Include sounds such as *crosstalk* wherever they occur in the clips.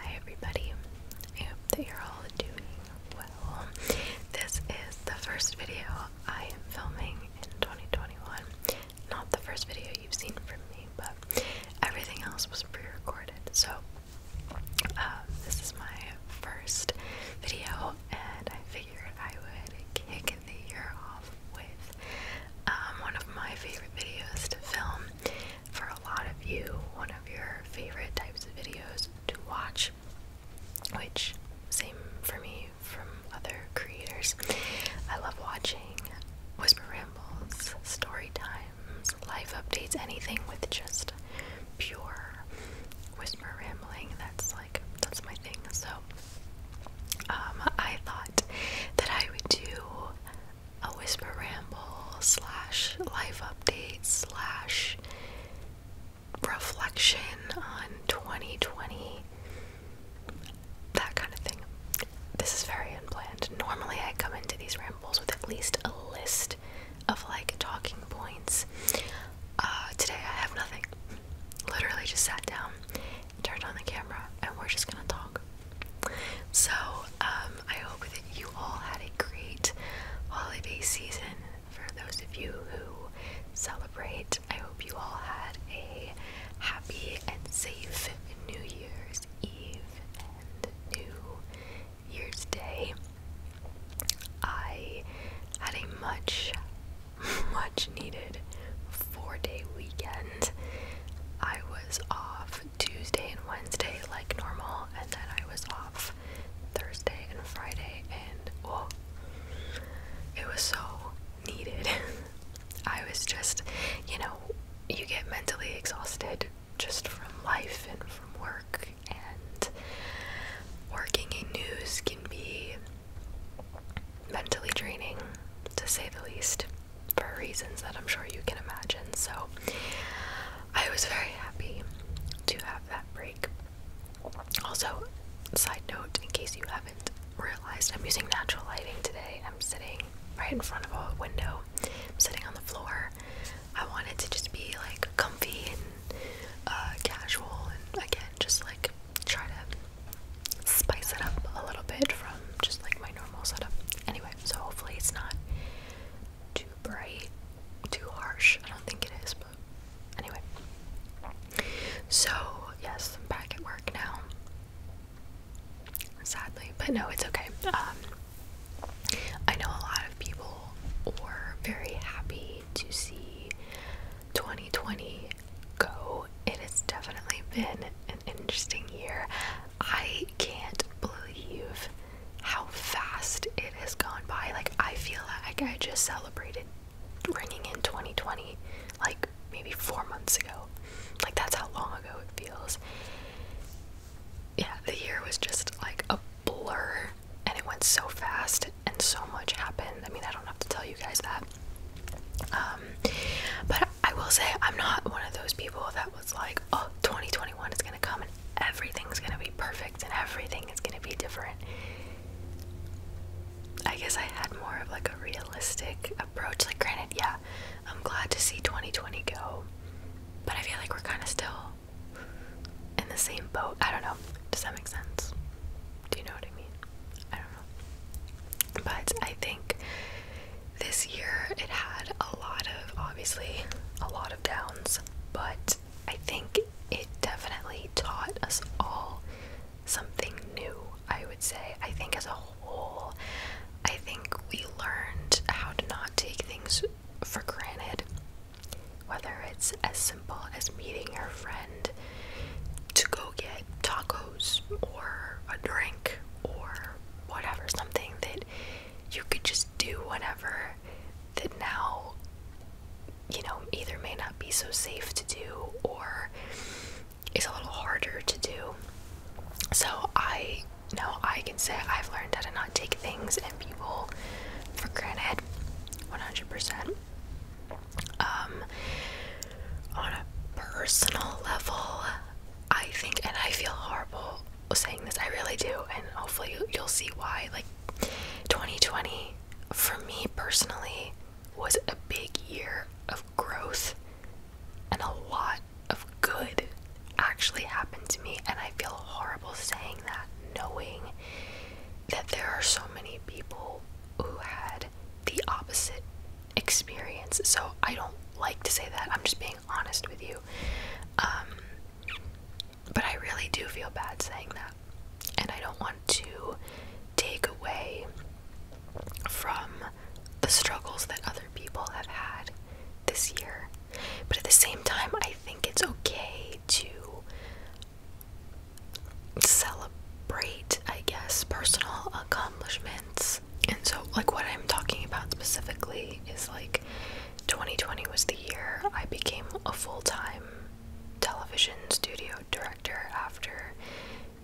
Hi, everybody. I hope that you're all doing well. This is the first video I am filming in 2021. Not the first video you've seen from me, but everything else was pre recorded. So um, this is my first video, and I figured I would kick the year off with um, one of my favorite videos to film. For a lot of you, one of your favorite types of videos to watch, which same for me from other creators. I love watching whisper rambles, story times. Life updates, anything with just pure whisper rambling. That's like that's my thing. So um, I thought that I would do a whisper ramble slash live update slash reflection on 2020 that kind of thing. This is very unplanned. Normally I come into these rambles with at least a list of like talking points. Uh, today I have nothing. Literally just sat down, turned on the camera, and we're just gonna talk. So, um, I hope that you all had a great holiday season. For those of you who celebrate, I hope you all had a happy and safe New Year's Eve and New year's day, I had a much, *laughs* much needed four day weekend. I was off Tuesday and Wednesday like normal, and then I was off Thursday and Friday, and oh, it was so needed. *laughs* I was just, you know, you get mentally exhausted just from life and from work and working in news can be mentally draining to say the least for reasons that I'm sure you can imagine. So I was very happy to have that break. Also, side note in case you haven't realized, I'm using natural lighting today. I'm sitting right in front of a window. I'm sitting on the floor. I wanted to just be like comfy and uh, casual, and again, just like try to spice it up a little bit from just like my normal setup. Anyway, so hopefully it's not too bright, too harsh. I don't think it is, but anyway. So, yes, I'm back at work now. Sadly, but no, it's okay. Um, I know a lot of people were very happy to see 2020 go. It has definitely been an interesting year. I can't believe how fast it has gone by. Like, I feel like I just celebrated ringing in 2020, like maybe four months ago. Like, that's how long ago it feels. Yeah, the year was just like a blur and it went so fast and so much happened. I mean, I don't have to tell you guys that. Um, but I will say, I'm not one of those people that was like, oh, 2021 is going to come and everything's going to be perfect and everything is going to be different. I guess I had more of like a realistic approach. Like, granted, yeah, I'm glad to see 2020 go, but I feel like we're kind of still in the same boat. I don't know. Does that make sense? Do you know what I mean? I don't know. But I think this year it had a lot of, obviously, a lot of downs, but I think it definitely taught us all something new, I would say. I think as a whole, I think we learned how to not take things for granted. Whether it's as simple as meeting your friend to go get tacos or a drink or whatever, something that you could just do whatever that now, you know, either may not be so safe to do or it's a little harder to do. So I know I can say I've learned how to not take things and people for granted. 100%. Um, on a personal level, I think, and I feel horrible saying this, I really do, and hopefully you'll see why. Like, 2020 for me personally was a big year of growth, and a lot of good actually happened to me, and I feel horrible saying that, knowing that there are so many people who had the opposite experience. So I don't like to say that. I'm just being honest with you. Um, but I really do feel bad saying that. And I don't want to take away from the struggles that other people have had this year. But at the same time, I think it's okay to celebrate, I guess, personal accomplishments. And so, like, what I'm talking about specifically is like 2020 was the year I became a full time television studio director after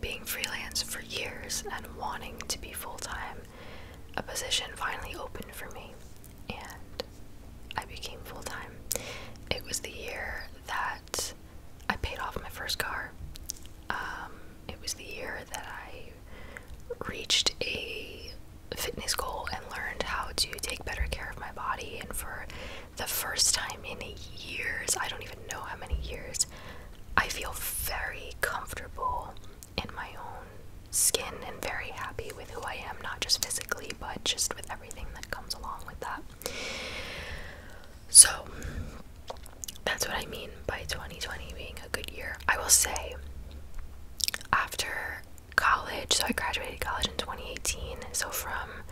being freelance for years and wanting to be full time. A position finally opened for me, and I became full time. It was the year that I paid off my first car. Um, it was the year that I reached a fitness goal and learned how to take better care of my body. And for the first time in years, I don't even know how many years, I feel very comfortable in my own skin and very happy with who I am, not just physically, but just with everything that comes along with that. So that's what I mean by 2020 being a good year. I will say, after college, so I graduated college in 2018, so from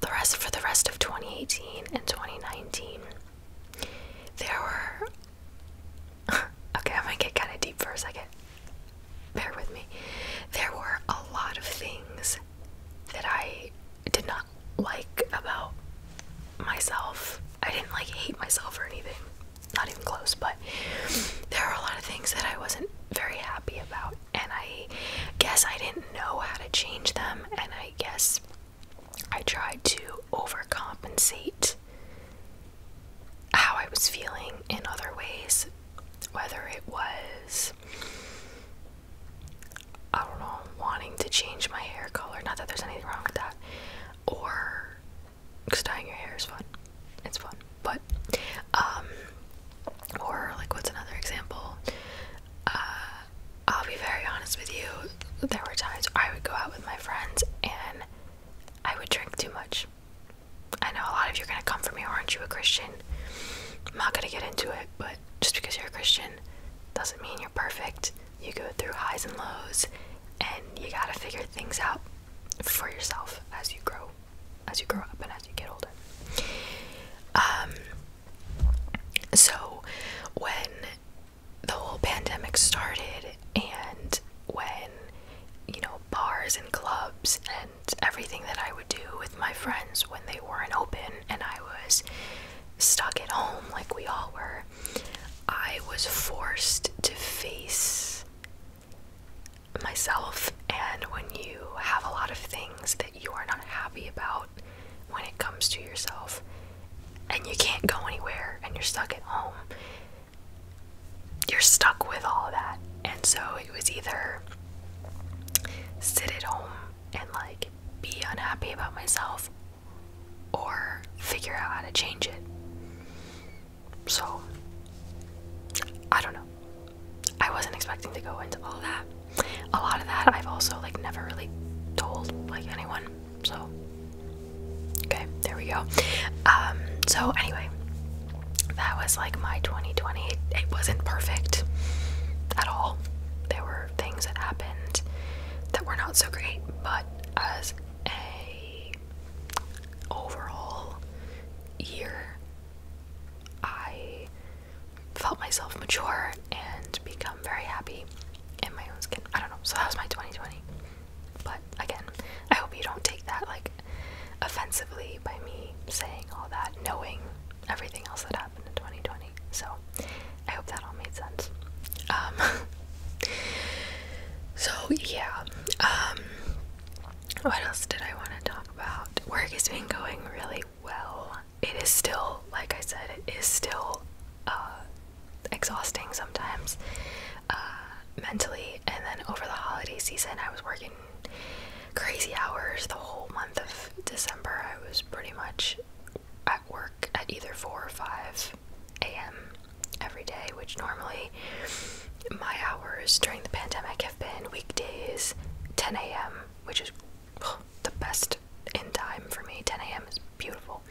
the rest for the rest of 2018 and 2019, there were *laughs* okay, I am gonna get kind of deep for a second bear with me. There were a lot of things that I did not like about myself. I didn't like hate myself or anything, not even close, but there were a lot of things that I wasn't very happy about, and I guess I didn't know how to change them, and I guess I tried to overcompensate how I was feeling in other ways, whether it was I don't know, wanting to change my hair color. Not that there's anything wrong with that. Or, because dyeing your hair is fun. It's fun. But, um, or, like, what's another example? Uh, I'll be very honest with you. There were times I would go out with my friends and I would drink too much. I know a lot of you are going to come for me, aren't you a Christian? I'm not gonna get into it, but just because you're a Christian doesn't mean you're perfect. You go through highs and lows, and you gotta figure things out for yourself as you grow, as you grow up, and as you get older. Um. So, when the whole pandemic started, and when you know bars and clubs and everything that I would do with my friends when they weren't open and I was stuck at home like we all were, I was forced to face myself. And when you have a lot of things that you are not happy about when it comes to yourself, and you can't go anywhere and you're stuck at home, you're stuck with all that. And so it was either sit at home and like be unhappy about myself or figure out how to change it. So, I don't know. I wasn't expecting to go into all that. A lot of that I've also like never really told like anyone. So, okay, there we go. Um, so anyway, that was like my 2020 it wasn't perfect at all. There were things that happened that were not so great, but as a overall year, I felt myself mature and become very happy in my own skin. I don't know. So that was my 2020. But again, I hope you don't take that like offensively by me saying all that, knowing everything else that happened in 2020. So I hope that all made sense. Um, *laughs* so yeah. Um, what else did I want to talk about? Work has been going really well. It is still, like I said, it is still uh, exhausting sometimes uh, mentally. And then over the holiday season, I was working crazy hours the whole month of December. I was pretty much at work at either 4 or 5 a.m. every day, which normally my hours during the pandemic have been weekdays 10 a.m., which is the best in time for me. 10 a.m. is beautiful.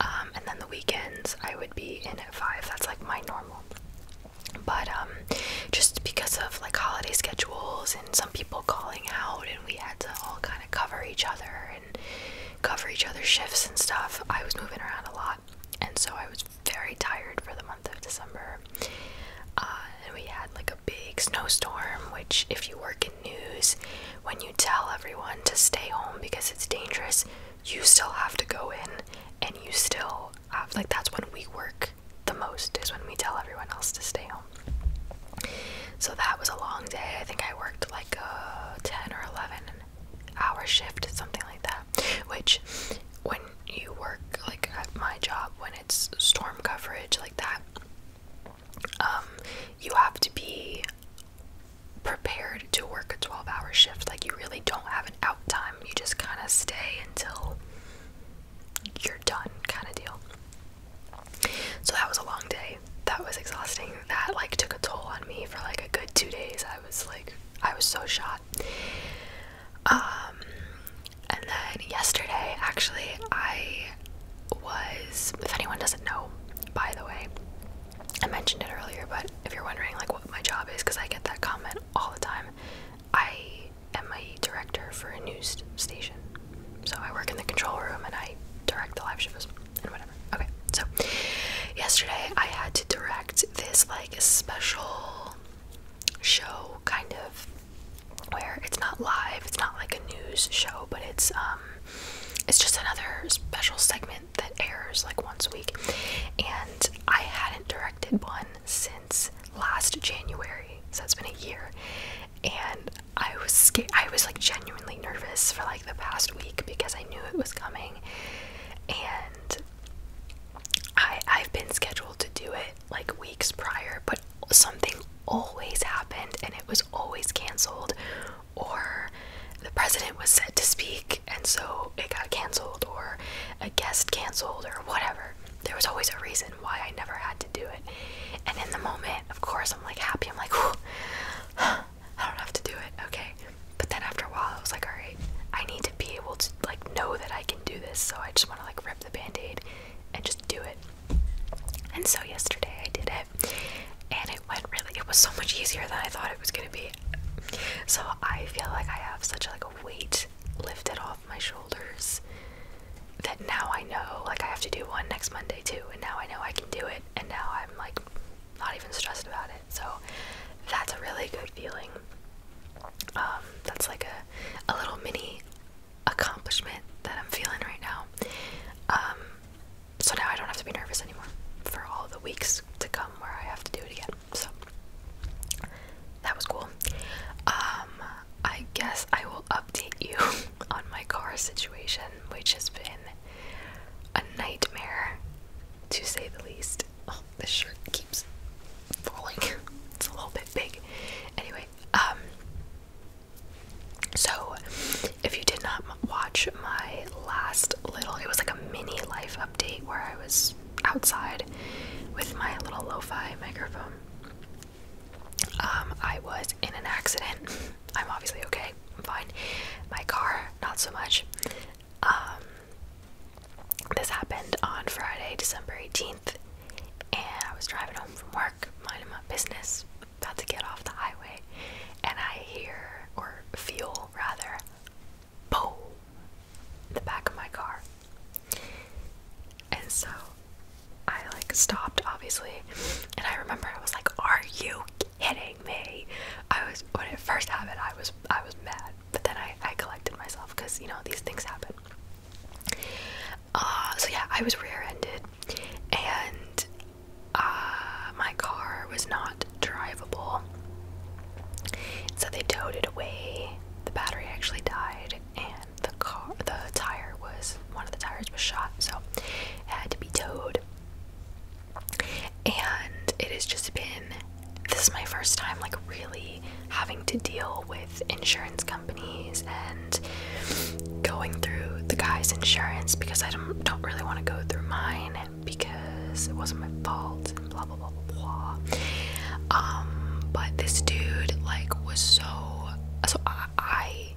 Um, and then the weekends I would be in at 5. That's like my normal. But um, just because of like holiday schedules and some people calling out and we had to all kind of cover each other and cover each other's shifts and stuff. I was moving around a lot and so I was very tired for the month of December. Uh, and we had like a big snowstorm, which, if you work in news, when you tell everyone to stay home because it's dangerous, you still have to go in and you still have, like, that's when we work the most is when we tell everyone else to stay home. So that was a long day. I think I worked like a 10 or 11 hour shift, something like that. Which, when you work like at my job, when it's storm coverage like that, um, you have to be prepared to work a 12 hour shift. Like, you really don't have an out time. You just kind of stay until you're done, kind of deal. So that was a long day. That was exhausting. That like took a toll on me for like a good two days. I was like, I was so shot. Um, and then yesterday, actually, I was. If anyone doesn't know, by the way, I mentioned it earlier, but if you're wondering like what my job is, because I get that comment all the time, I I'm a director for a news station. So I work in the control room and I direct the live shows and whatever. Okay, so yesterday I had to direct this like special show kind of where it's not live, it's not like a news show, but it's um it's just another special segment that airs like once a week. And I hadn't directed one since last January, so it's been a year and I was scared. I was like genuinely nervous for like the past week because I knew it was coming, and I I've been scheduled to do it like weeks prior, but something always happened and it was always canceled, or the president was set to speak and so it got canceled, or a guest canceled, or whatever there was always a reason why I never had to do it. And in the moment, of course, I'm like happy. I'm like, I don't have to do it. Okay. But then after a while, I was like, all right, I need to be able to like know that I can do this. So I just want to like rip the band aid and just do it. And so yesterday I did it. And it went really, it was so much easier than I thought it was going to be. So I feel like I have such like a weight lifted off my shoulders that now I know like I have to do one next Monday too and now I know I can do it and now I'm like not even stressed about it. So that's a really good feeling. Um, that's like a a little mini accomplishment that I'm feeling right now. Um, so now I don't have to be nervous anymore for all the weeks to come where I have to do it again. So that was cool. Um, I guess I will update you *laughs* on my car situation, which has been a nightmare to say the least. Oh, this shirt keeps falling. *laughs* it's a little bit big. Anyway, um so if you did not watch my last little it was like a mini life update where I was outside with my little lo-fi microphone um, I was in an accident. I'm obviously okay. I'm fine. My car, not so much. Um, this happened on Friday, December 18th, and I was driving home from work, minding my business, about to get off the highway, and I hear, or feel rather, boom, the back of my car. And so I like stopped obviously, and I remember I was like, "Are you kidding me?" I was when it first happened, I was I was mad, but then I I collected myself because you know these things happen. Uh, so yeah, I was rear-ended, and uh, my car was not drivable, so they towed it away. The battery actually died, and the car, the tire was one of the tires was shot, so it had to be towed. And it has just been this is my first time like really having to deal with insurance companies and going through the guy's insurance because I don't don't really want to go through mine because it wasn't my fault and blah blah blah blah blah. Um, but this dude like was so so I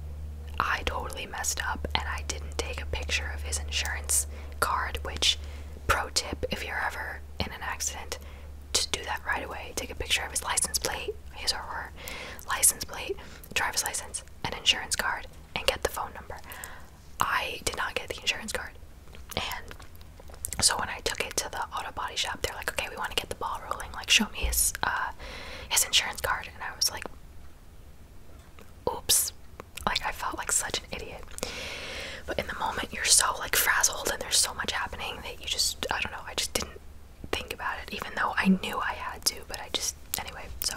I totally messed up and I didn't take a picture of his insurance card, which, pro tip, if you're ever in an accident, just do that right away. Take a picture of his license plate, his or her license plate, driver's license, and insurance card, and get the phone number. I did not get the insurance card. And so when I took it to the auto body shop, they're like, okay, we want to get the ball rolling. Like, show me his, uh, his insurance card and I was like, oops. Like, I felt like such an idiot. But in the moment, you're so like frazzled and there's so much happening that you just, I don't know, I just didn't think about it, even though I knew I had to, but I just, anyway, so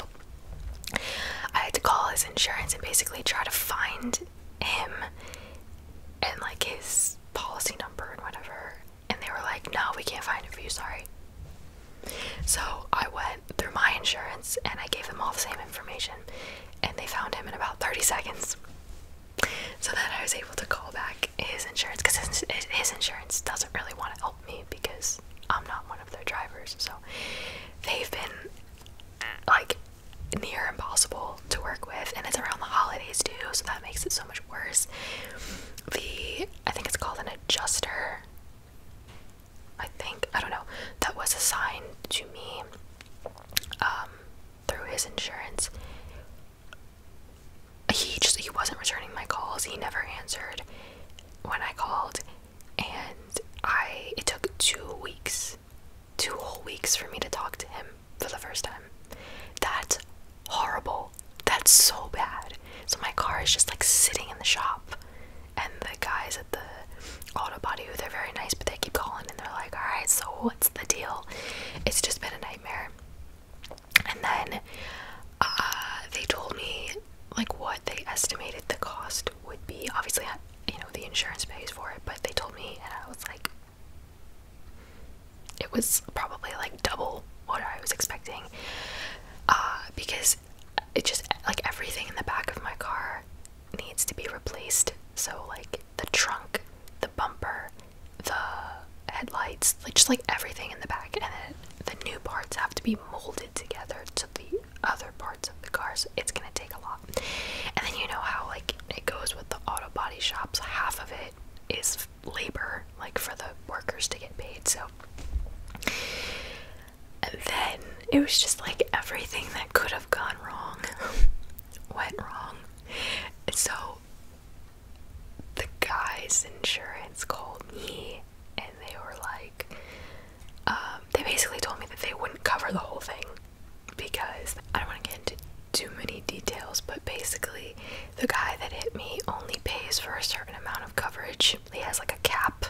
I had to call his insurance and basically try to find him and like his policy number and whatever and they were like, no, we can't find it for you, sorry. So I went through my insurance and I gave them all the same information, and they found him in about 30 seconds. So then I was able to call back his insurance because his, his insurance doesn't really want to help me because I'm not one of their drivers. So they've been like near impossible to work with, and it's around the holidays too, so that makes it so much worse. The I think it's called an adjuster. I think, I don't know, that was assigned to me um, through his insurance. He just, he wasn't returning my calls. He never answered when I called. And I, it took two weeks, two whole weeks for me to talk to him for the first time. That horrible. That's so bad. So my car is just like sitting in the shop, and the guys at the auto body, who they're very nice, but they keep calling and they're like, "All right, so what's the deal?" It's just been a nightmare. And then uh, they told me like what they estimated the cost would be. Obviously, you know the insurance pays for it, but they told me, and I was like. It was probably like double what I was expecting. Uh, because it just like everything in the back of my car needs to be replaced. So like the trunk, the bumper, the headlights, like, just like everything in the back, and then the new parts have to be molded together to the other parts of the cars. it's gonna take a lot. And then you know how like it goes with the auto body shops. Half of it is labor, like for the workers to get paid. So and then it was just like everything that could have gone wrong *laughs* went wrong. And so the guy's insurance called me and they were like, um, they basically told me that they wouldn't cover the whole thing because I don't want to get into too many details, but basically, the guy that hit me only pays for a certain amount of coverage he has like a cap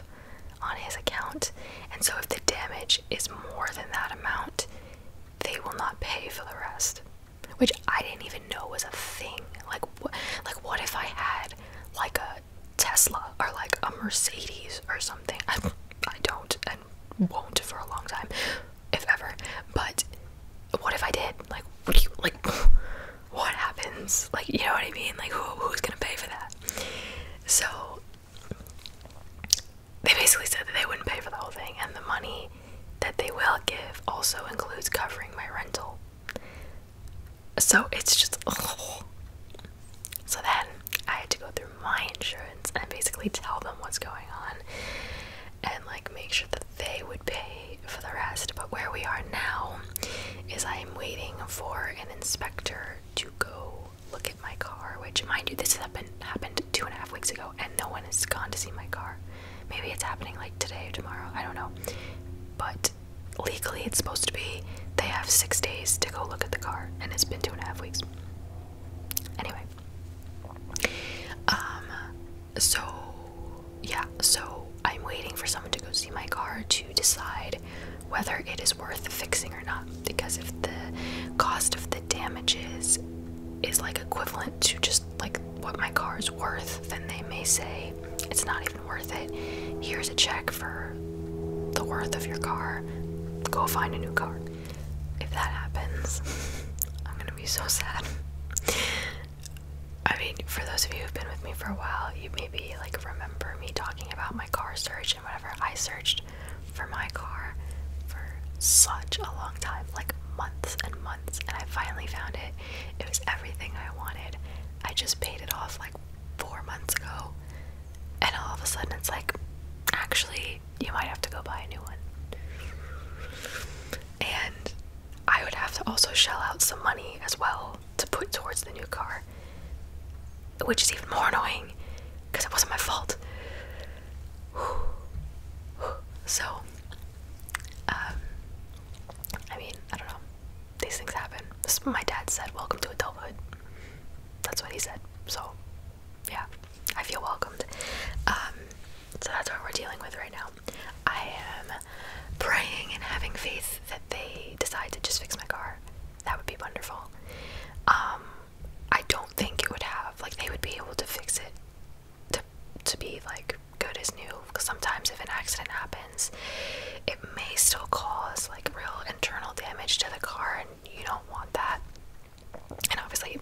on his account, and so if the damage is more than that amount, they will not pay for the rest. Which I didn't even know was a thing. Like, wh like what if I had like a Tesla or like a Mercedes or something? *laughs* I don't and won't for a long time, if ever. But what if I did? Like, what do you like? *laughs* what happens? Like, you know what I mean? Like, who, who's gonna pay for that? So, they basically said that they wouldn't pay for the whole thing, and the money that they will give also includes covering my rental. So, it's just. So then I had to go through my insurance and basically tell them what's going on and like make sure that they would pay for the rest, but where we are now is I am waiting for an inspector to go look at my car, which, mind you, this happened, happened two and a half weeks ago, and no one has gone to see my car. Maybe it's happening like today or tomorrow, I don't know. But legally, it's supposed to be they have six days to go look at the car, and it's been two and a half weeks. Anyway, um, so yeah, so I'm waiting for someone to go see my car to decide whether it is worth fixing or not. Because if the cost of the damages is like equivalent to just like what my car is worth, then they may say it's not even worth it. Here's a check for the worth of your car. Go find a new car. If that happens, *laughs* I'm gonna be so sad. I mean, for those of you who've been with me for a while, you maybe like remember me talking about my car search and whatever. I searched for my car for such a long time, like months and months, and I finally found it. It was everything I wanted. I just paid it off like four months ago, and all of a sudden it's like, actually, you might have to go buy a new one. And I would have to also shell out some money as well to put towards the new car, which is even more annoying because it wasn't my fault. *sighs* So, um, I mean, I don't know. These things happen. my dad said, "Welcome to adulthood." That's what he said. So, yeah, I feel welcomed. Um, so that's what we're dealing with right now. I am praying and having faith that they decide to just fix my car. That would be wonderful. Um, I don't think it would have like they would be able to fix it to to be like good as new. Because sometimes if an accident happens, it may still cause like real internal damage to the car, and you don't want that. And obviously,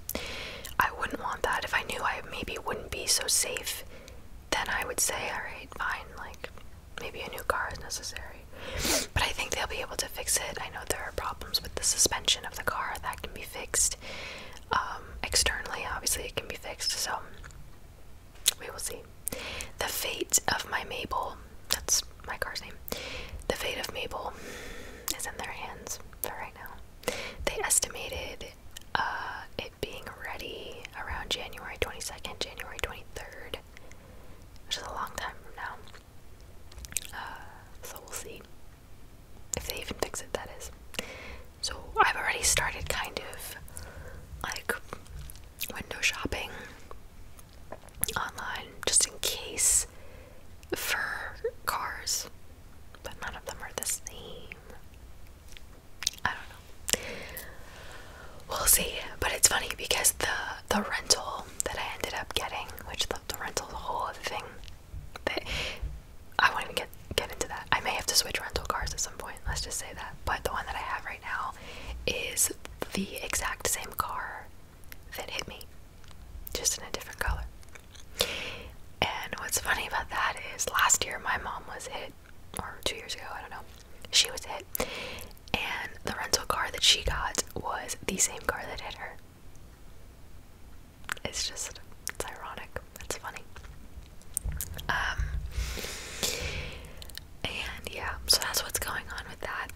I wouldn't want that. If I knew I maybe wouldn't be so safe, then I would say, all right, fine, like maybe a new car is necessary. But I think they'll be able to fix it. I know there are problems with the suspension of the car that can be fixed um, externally. Obviously, it can be fixed. So we will see. The fate of my Mabel. That's my car's name. The fate of Mabel is in their hands for right now. They estimated uh, it being ready around January 22nd, January 23rd which is a long time from now. Uh, so we'll see if they even fix it, that is. So I've already started kind of like window shopping online just in case for cars, but none of them are the same. I don't We'll see. But it's funny because the the rental that I ended up getting, which the, rental the whole other thing, that I won't even get get into that. I may have to switch rental cars at some point. Let's just say that. But the one that I have right now is the exact same car that hit me, just in a different color. And what's funny about that is last year my mom was hit or two years ago, I don't know. She was hit, and the rental car that she got was the same car that hit her. It's just, it's ironic. It's funny. Um, and yeah, so that's what's going on with that.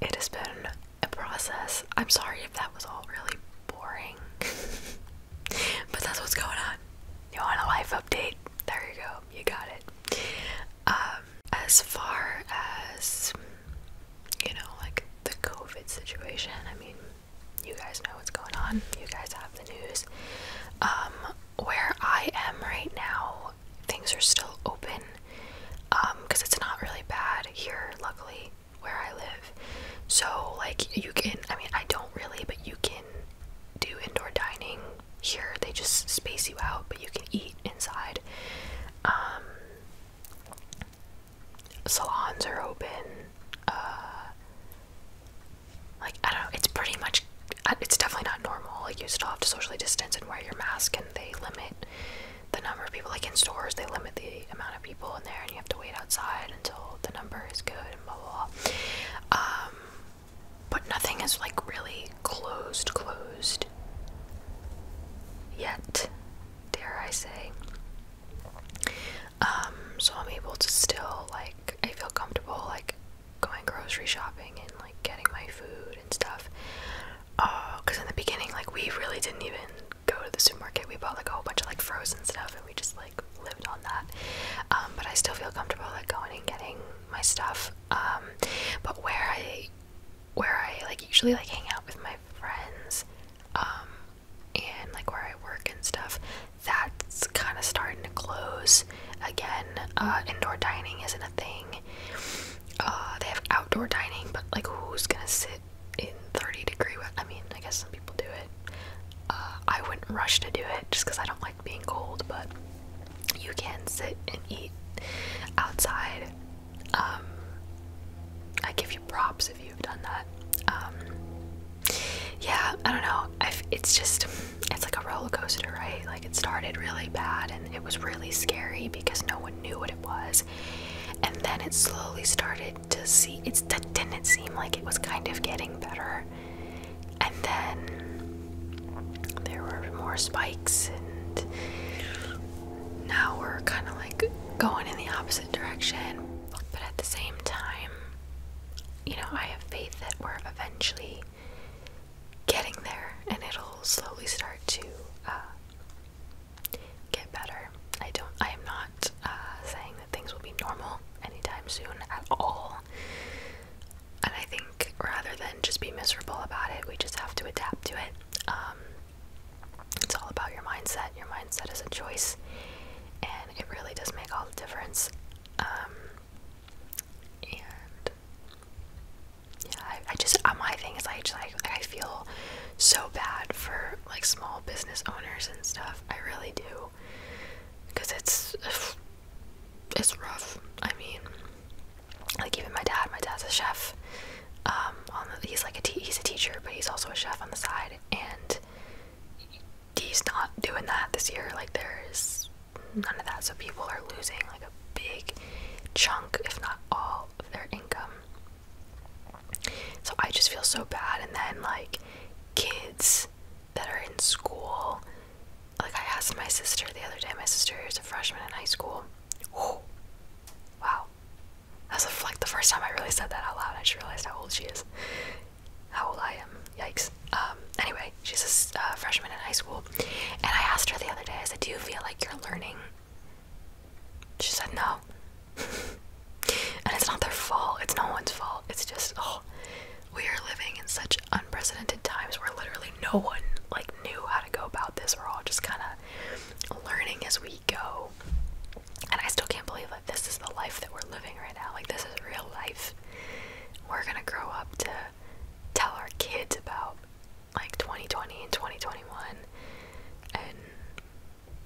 It has been a process. I'm sorry if that was all really boring, *laughs* but that's what's going on. You want a life update? There you go. You got it. Um, uh, as far as you know, like the COVID situation, I mean, you guys know what's going on, you guys have the news. Um, where I am right now, things are still open because um, it's not really bad here, luckily, where I live. So, like, you can, I mean, I don't really, but you can do indoor dining here they just space you out, but you can eat inside. Um, salons are open. Uh, like I don't know, it's pretty much. Uh, it's definitely not normal. Like you still have to socially distance and wear your mask, and they limit the number of people. Like in stores, they limit the amount of people in there, and you have to wait outside until the number is good and blah blah blah. Um, but nothing is like really closed, closed yet, dare I say. Um, so I'm able to still like I feel comfortable like going grocery shopping and like getting my food and stuff. Uh, cause in the beginning, like we really didn't even go to the supermarket. We bought like a whole bunch of like frozen stuff and we just like lived on that. Um, but I still feel comfortable like going and getting my stuff um, but where I where I like usually like hang out with my friends, um, and like where I work and stuff, that's kind of starting to close again. Uh, indoor dining isn't a thing. Uh, they have outdoor dining, but like who's gonna sit in 30 degree? I mean, I guess some people do it. Uh, I wouldn't rush to do it just because I don't like being cold, but you can sit and eat outside. Um, I give you props if you've done that. Um, yeah, I don't know. I've, it's just, it's like a roller coaster, right? Like it started really bad and it was really scary because no one knew what it was. And then it slowly started to see, it didn't seem like it was kind of getting better. And then there were more spikes and now we're kind of like going in the opposite direction but at the same time you know i have faith that we're eventually getting there and it'll slowly start to uh, get better i don't i am not uh, saying that things will be normal anytime soon at all and I think rather than just be miserable about it, we just have to adapt to it. Um, it's all about your mindset. Your mindset is a choice, and it really does make all the difference. Um, and yeah, I, I just uh, my thing is I just like I feel so bad for like small business owners and stuff. I really do, because it's *sighs* it's rough. I mean, like even my dad my dad's a chef um he's like a he's a teacher but he's also a chef on the side and he's not doing that this year like there's none of that so people are losing like a big chunk if not all of their income so i just feel so bad and then like kids that are in school like I asked my sister the other day, my sister is a freshman in high school. Oh, wow. That's like the first time I really said that out loud. I just realized how old she is. How old I am. Yikes. Um, anyway, she's a uh, freshman in high school. And I asked her the other day, I said, Do you feel like you're learning? She said, No. *laughs* and it's not their fault. It's no one's fault. It's just, oh, we are living in such unprecedented times where literally no one like knew how to go about this. We're all just kind of learning as we go. And I still can't believe that this is the life that we're living right now. Like this is real life. We're gonna grow up to tell our kids about like 2020 and 2021. And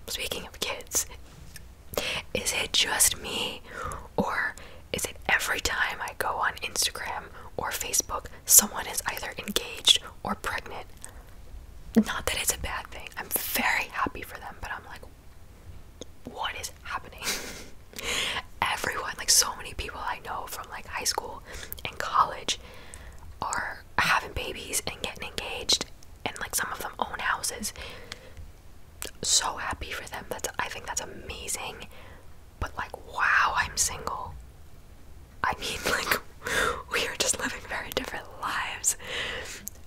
speaking of kids, is it just me or is it every time I go on Instagram or Facebook someone is either engaged or pregnant. Not that it's a bad thing. I'm very happy for them, but I'm like, what is happening? *laughs* Everyone, like so many people I know from like high school and college are having babies and getting engaged and like some of them own houses. So happy for them. That's I think that's amazing. But like wow, I'm single. I mean, *laughs* like, we are just living very different lives.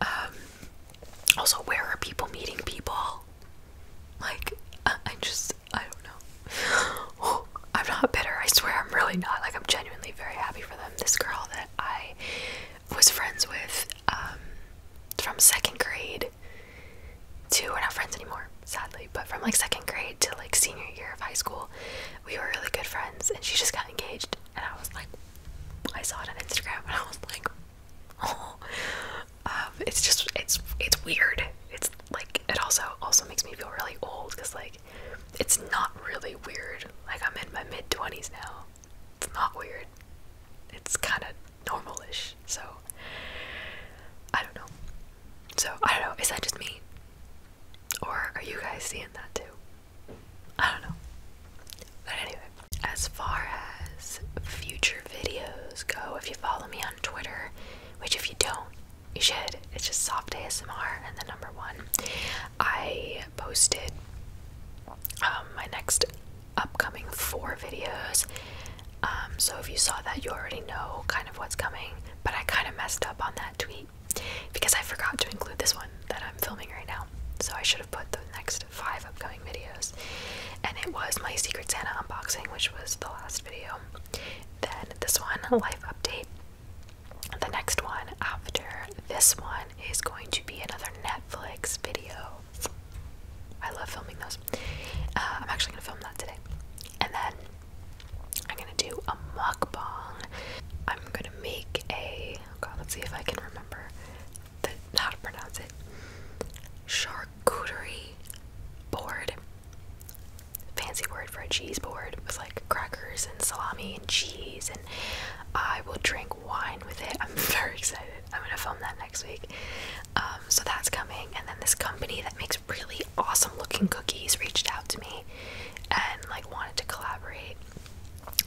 Um, also, where are people meeting people? Like, I, just, I don't know. *gasps* I'm not bitter, I swear, I'm really not. Like, I'm genuinely very happy for them. This girl that I was friends with um, from second grade to, we're not friends anymore sadly, but from like second grade to like senior year of high school, we were really good friends and she just got engaged and I was like I saw it on Instagram and I was like *laughs* oh, um, it's just it's it's weird. It's like it also also makes me feel really old cuz like it's not really weird. Like I'm in my mid 20s now. It's not weird. It's kind of normalish. So I don't know. So, I don't know, is that just me? Or are you guys seeing that too? I don't know. But anyway, as far as future videos go, if you follow me on Twitter, which if you don't, you should. It's just soft ASMR and the number one. I posted um, my next upcoming four videos. Um, so if you saw that, you already know kind of what's coming. But I kind of messed up on that tweet because I forgot to include this one that I'm filming right now. So I should have put the next five upcoming videos. And it was my Secret Santa unboxing, which was the last video. Then this one, a life update. The next one after this one is going to be another Netflix video. I love filming those. Uh, I'm actually gonna film that today. And then I'm gonna do a mukbang. I'm gonna make a oh let's see if I can remember the, how to pronounce it. Charcuterie board. Fancy word for a cheese board with like crackers and salami and cheese, and I will drink wine with it. *laughs* I'm very excited. I'm gonna film that next week. Um, so that's coming, and then this company that makes really awesome looking cookies reached out to me and like wanted to collaborate.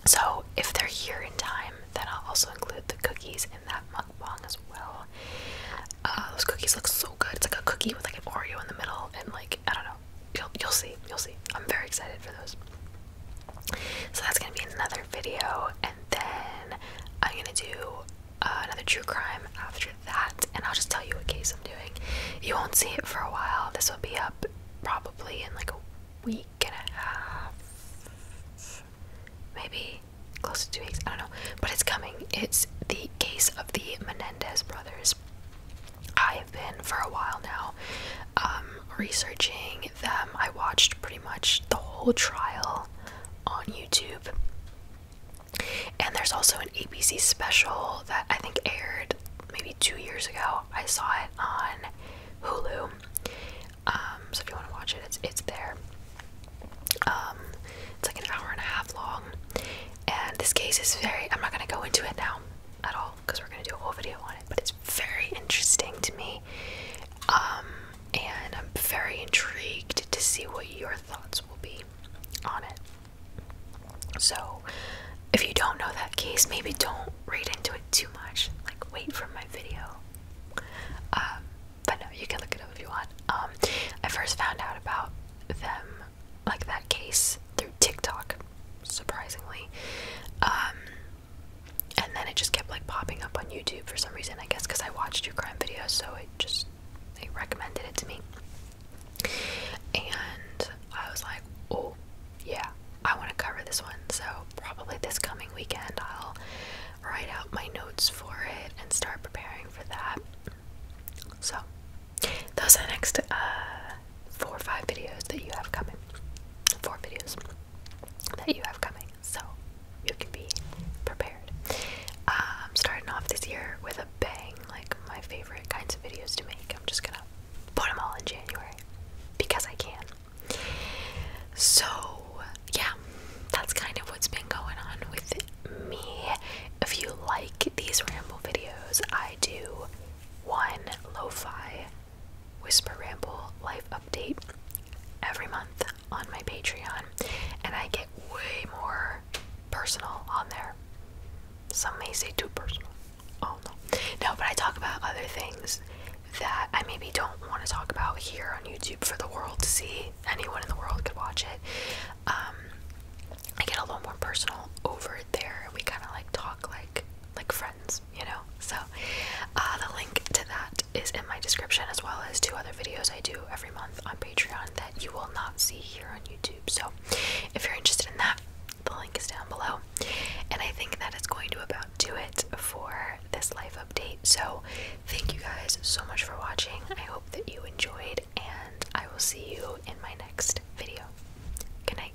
So if they're here in time, then I'll also include the cookies in that mukbang as well. Uh, those cookies look so good. It's like a cookie with like an Oreo in the middle, and like I don't know. You'll you'll see. You'll see. I'm very excited for those. So that's gonna be another video, and then I'm gonna do uh, another true crime after that and I'll just tell you what case I'm doing. You won't see it for a while. This will be up probably in like a week and a half. Maybe close to two weeks. I don't know. But it's coming. It's the case of the Menendez brothers. I have been for a while now um, researching them. I watched pretty much the whole trial on YouTube. And there's also an ABC special that I think aired maybe two years ago. I saw it on Hulu. Um, so if you want to watch it, it's there. Um, it's like an hour and a half long. And this case is very I'm not gonna go into it now at all because we're gonna do a whole video on it, but it's very interesting to me. Um, and I'm very intrigued to see what your thoughts will be on it. So, if you don't know that case, maybe don't read into it too much. Like, wait for my video. Um, but no, you can look it up if you want. Um, I first found out about them, like that case, through TikTok, surprisingly. Um, and then it just kept like popping up on YouTube for some reason, I guess, because I watched your crime videos, so it just they recommended it to me. And I was like, oh, yeah, I want to cover this one. So, probably this coming weekend, I'll write out my notes for it and start preparing for that. So, those are the next uh, four or five videos that you have coming. Four videos that you have coming. So, you can be prepared. I'm um, starting off this year with a bang, like my favorite kinds of videos to make. I'm just gonna put them all in January because I can. So, yeah, that's kind of what's been going on with me. If you like these ramble videos, I do one lo fi whisper ramble life update every month on my Patreon, and I get way more personal on there. Some may say too personal. Oh no. No, but I talk about other things that I maybe don't want to talk about here on YouTube for the world to see. Anyone in the world could watch it. Um, I get a little more personal over there. We kind of like talk like like friends, you know. So uh, the link to that is in my description, as well as two other videos I do every month on Patreon that you will not see here on YouTube. So if you're interested in that, the link is down below. And I think that is going to about do it for this life update. So thank you guys so much for watching. I hope that you enjoyed, and I will see you in my next video. Good night.